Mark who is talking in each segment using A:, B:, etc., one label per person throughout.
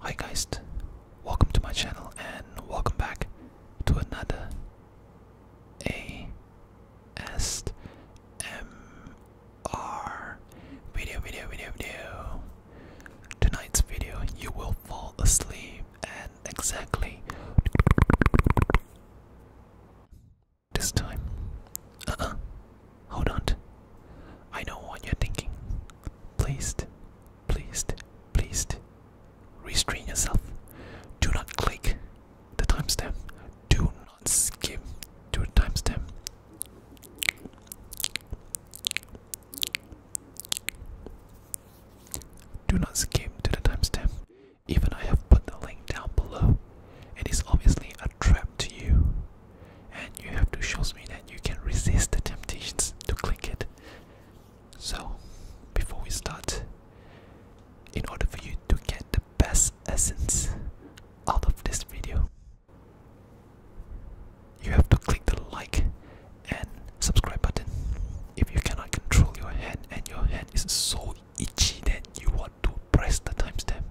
A: Hi guys, welcome to my channel and welcome back to another ASMR video, video, video, video. Tonight's video, you will fall asleep and exactly this time. Uh-uh. Hold on. I know what you're thinking. Please, please, please restrain yourself. Do not click the timestamp. Do not skip to the timestamp. Do not skip to the timestamp. Even I have put the link down below it is obviously a trap to you, and you have to show me that you can resist the temptations to click it. So, before we start, in order for you to get the best essence out of this video, you have to click the like and subscribe button. If you cannot control your hand and your hand is so itchy that you want to press the timestamp,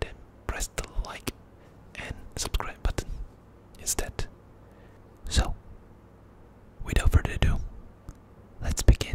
A: then press the like and subscribe button instead. So, without further ado, let's begin.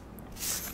A: Tickles.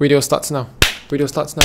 A: Video starts now. Video starts now.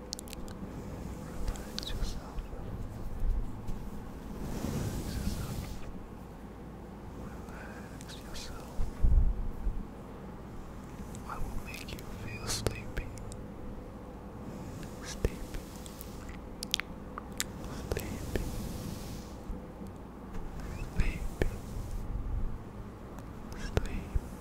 A: Relax yourself. Relax yourself. I will make you feel Sleepy. Sleepy. Sleepy. Sleepy. Sleepy.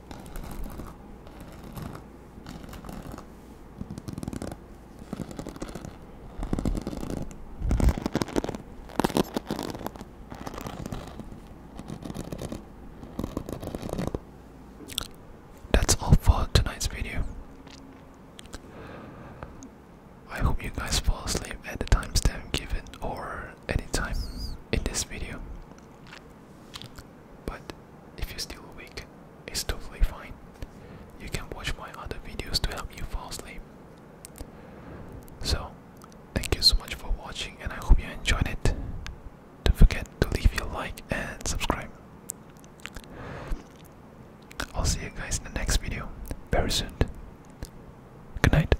A: That's all for tonight's video. I hope you guys fall asleep at the timestamp given or any in this video. But if you're still awake, it's totally fine. You can watch my other videos to help you fall asleep. So, thank you so much for watching, and I hope you enjoyed it. Don't forget to leave your like and subscribe. I'll see you guys in the next video very soon. Good night.